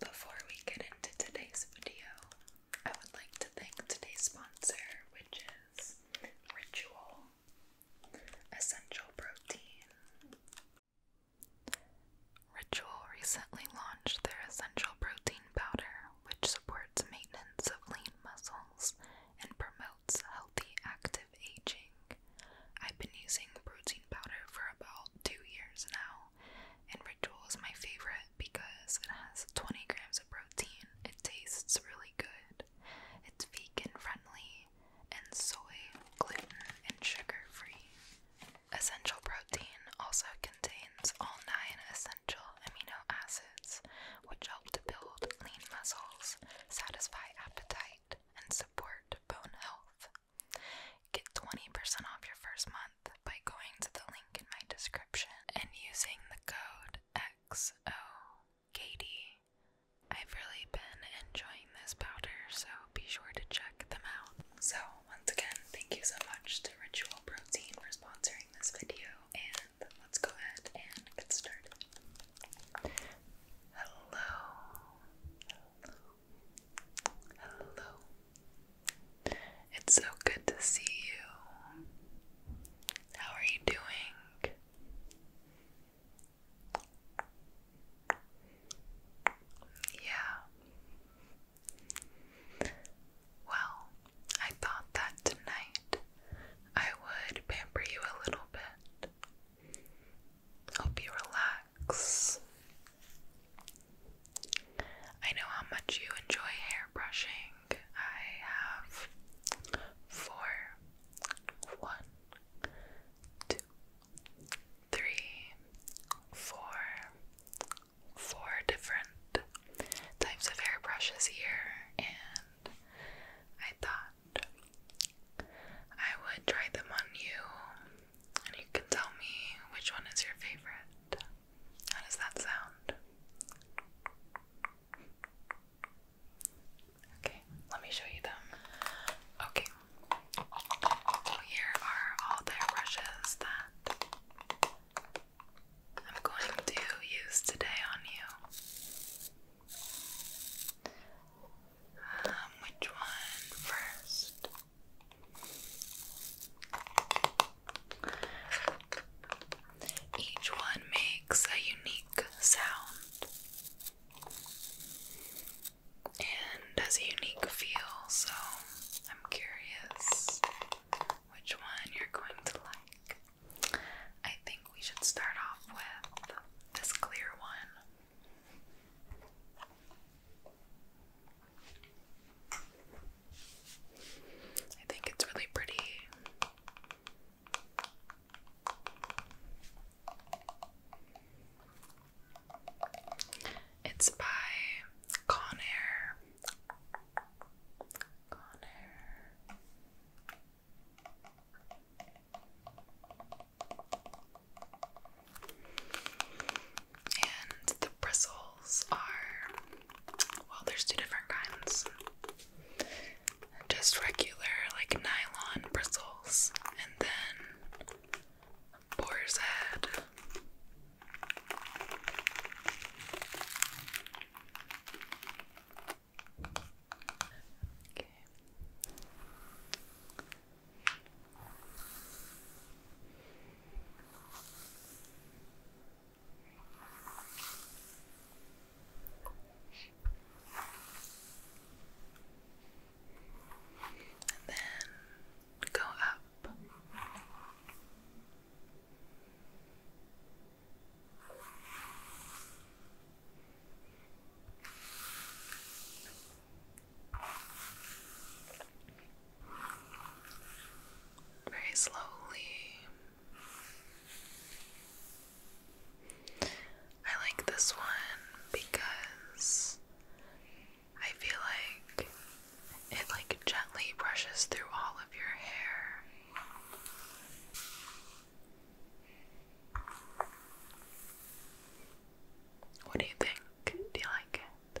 Before we get into today's video, I would like to thank today's sponsor, which is Ritual Essential Protein. Ritual recently launched their essential protein powder, which supports maintenance of lean muscles and promotes healthy, active aging. I've been using protein powder for about two years now, and Ritual is my favorite because it has 20 grams of protein. It tastes really good. It's vegan friendly and soy, gluten, and sugar free. Essential protein also contains all nine essential amino acids, which help to build lean muscles, satisfy appetite, and support bone health. Get 20% off your first month by going to the link in my description and using the code XO XOKD. I've really been enjoying this powder, so be sure to check them out. So, once again, thank you so much to Ritual Protein for sponsoring this video, and let's go ahead and get started. Hello. Hello. It's so good to see you. How are you doing? Yeah. Well, I thought that tonight I would pamper you a little bit. Hope you relax. I know how much you enjoy hair brushing. I have four, one, two, three, four, four different types of hair brushes here, and I thought I would try them on you and you can tell me which one is your favorite. How does that sound? Okay, let me show you them. Okay, here are all the brushes that I'm going to use today on you. Um, which one first? Each one makes a unique sound and has a unique feel, so I'm curious which one you're going to like. I think we should start off with this clear one. I think it's really pretty. It's by Conair. And the bristles are, well, there's two different kinds just regular, like nylon bristles, and then boar's Okay. And then go up. Very slowly. I like this one because I feel like it like gently brushes through all of your hair. What do you think? Do you like it?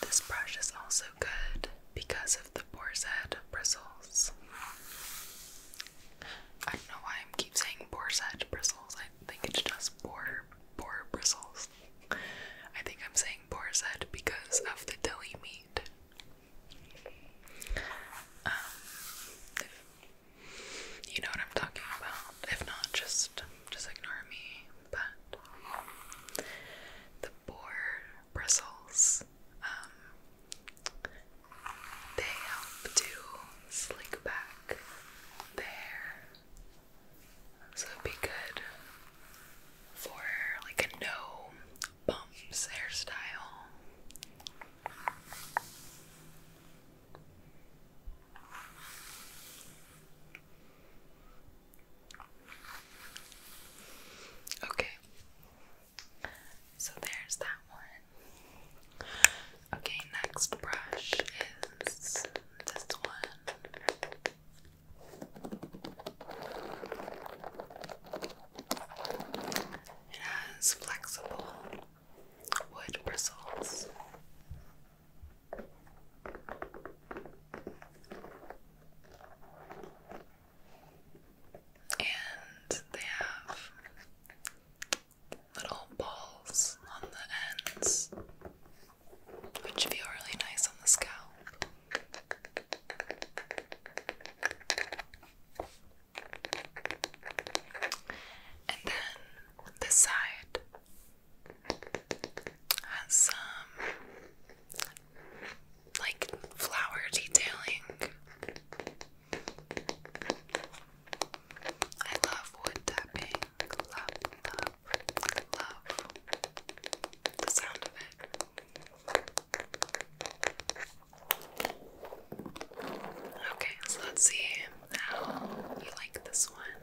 This brush is also good because of the boar's head bristles. I don't know why I keep saying boar's head bristles. I think it's just boar, boar bristles. I think I'm saying boar's head because of the deli meat. Um, you know what I'm talking about. If not, just just ignore me but the boar bristles, um, they help to slick back the hair. So it'd be good for like a no bumps hairstyle. Okay. So there's that one. Okay, next brush is this one. It has flexible wood bristles. And they have little balls on the ends, which feel really nice on the scalp. And then this side has some like flower detailing. I love wood tapping. Love, love, love the sound of it. Okay, so let's see how you like this one.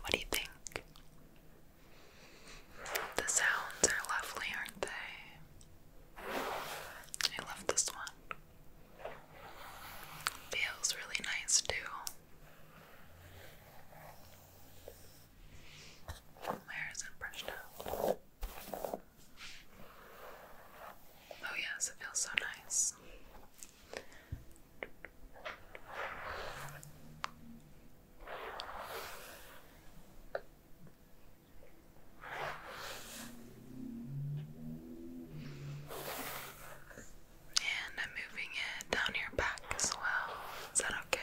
What do you think? The sounds are lovely, aren't they? I love this one. Feels really nice too. My hair is brushed up. Oh, yes, it feels so nice. And I'm moving it down your back as well. Is that okay?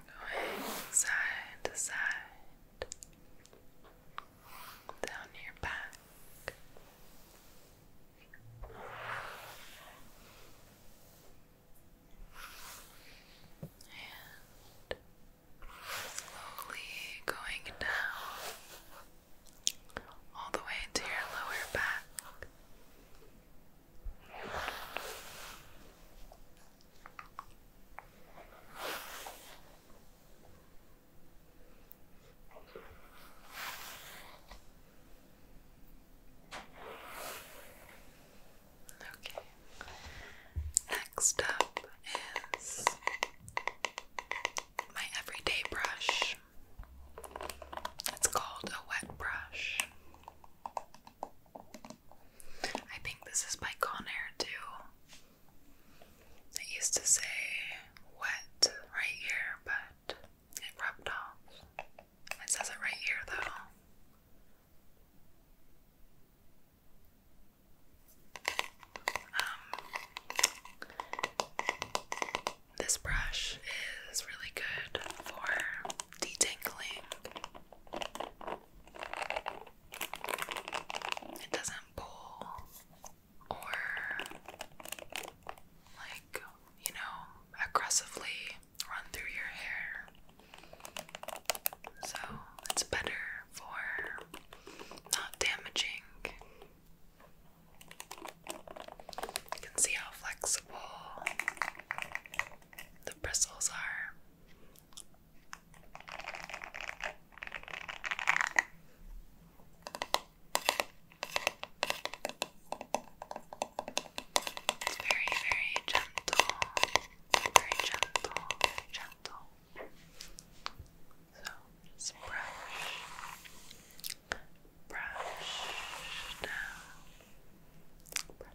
Going side to side, down your back. And slowly going down all the way to your lower back. Okay. Next up is my everyday brush. It's called a wet brush. I think this is by Conair too. It used to say wet right here, but it rubbed off. It says it right here though. Um, this brush is really good for detangling. It doesn't pull or like, you know, aggressively run through your hair. So, it's better for not damaging you can see how flexible the bristles are. It's very, very gentle. Very gentle, very gentle. So just brush brush now. Brush. Brush.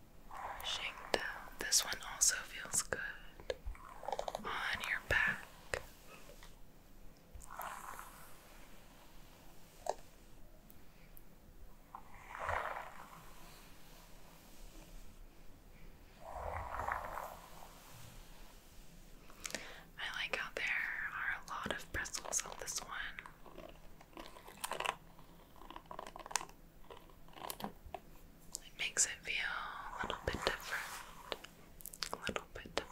This one also feels good on your back. I like how there are a lot of bristles on this one. It makes it feel a little bit different. A little bit different.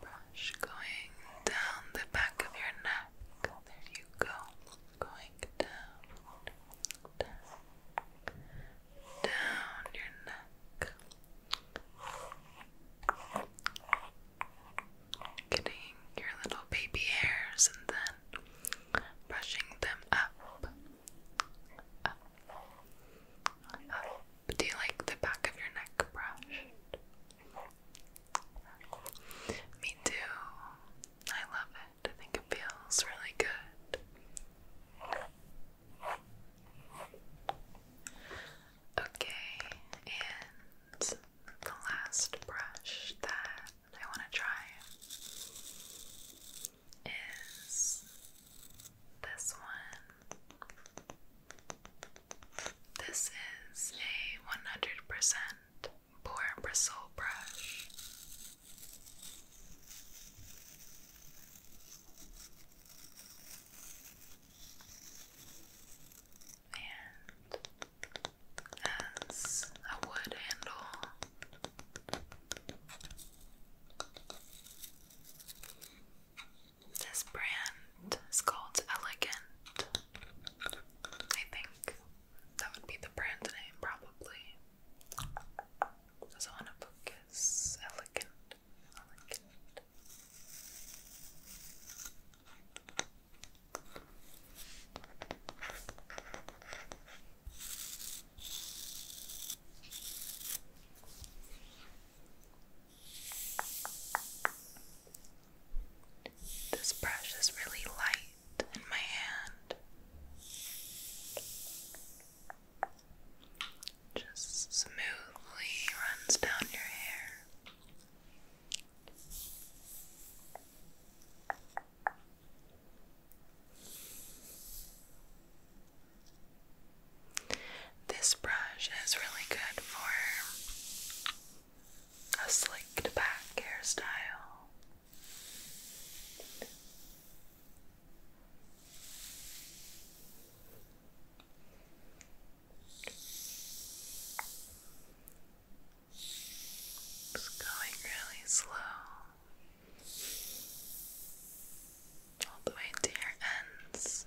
Brush going down the back of your neck. There you go going down, down, your neck, getting your little baby hairs and then brushing them up, up. Do you like the back of your neck brushed? Me too. I love it. I think it feels really good. Okay, and the last brush that I want to try is this one. This is a 100% poor bristle brush. And as a wood handle, this brand is called Elegant, I think that would be the brand name probably. Because I want to focus elegant, elegant. This brush is really light in my hand. Just smoothly runs down your hair. This brush is really good for a slicked back hairstyle. It's going really slow all the way to your ends.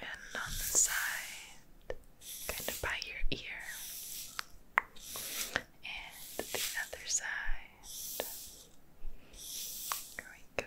and on the side, kind of by your ear, and the other side. Here we go.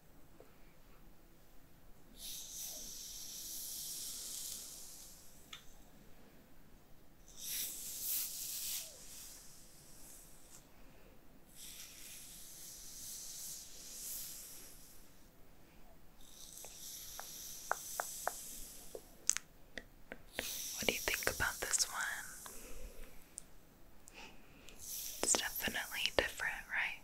What do you think about this one? It's definitely different, right?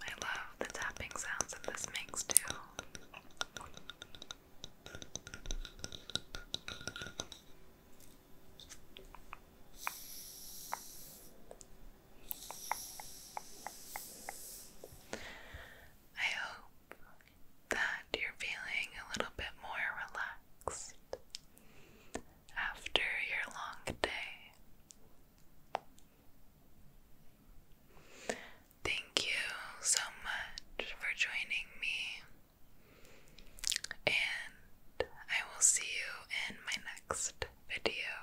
I love the tapping sounds that this makes too. I hope that you're feeling a little bit more relaxed after your long day. Thank you so much for joining me, and I will see you in my next video.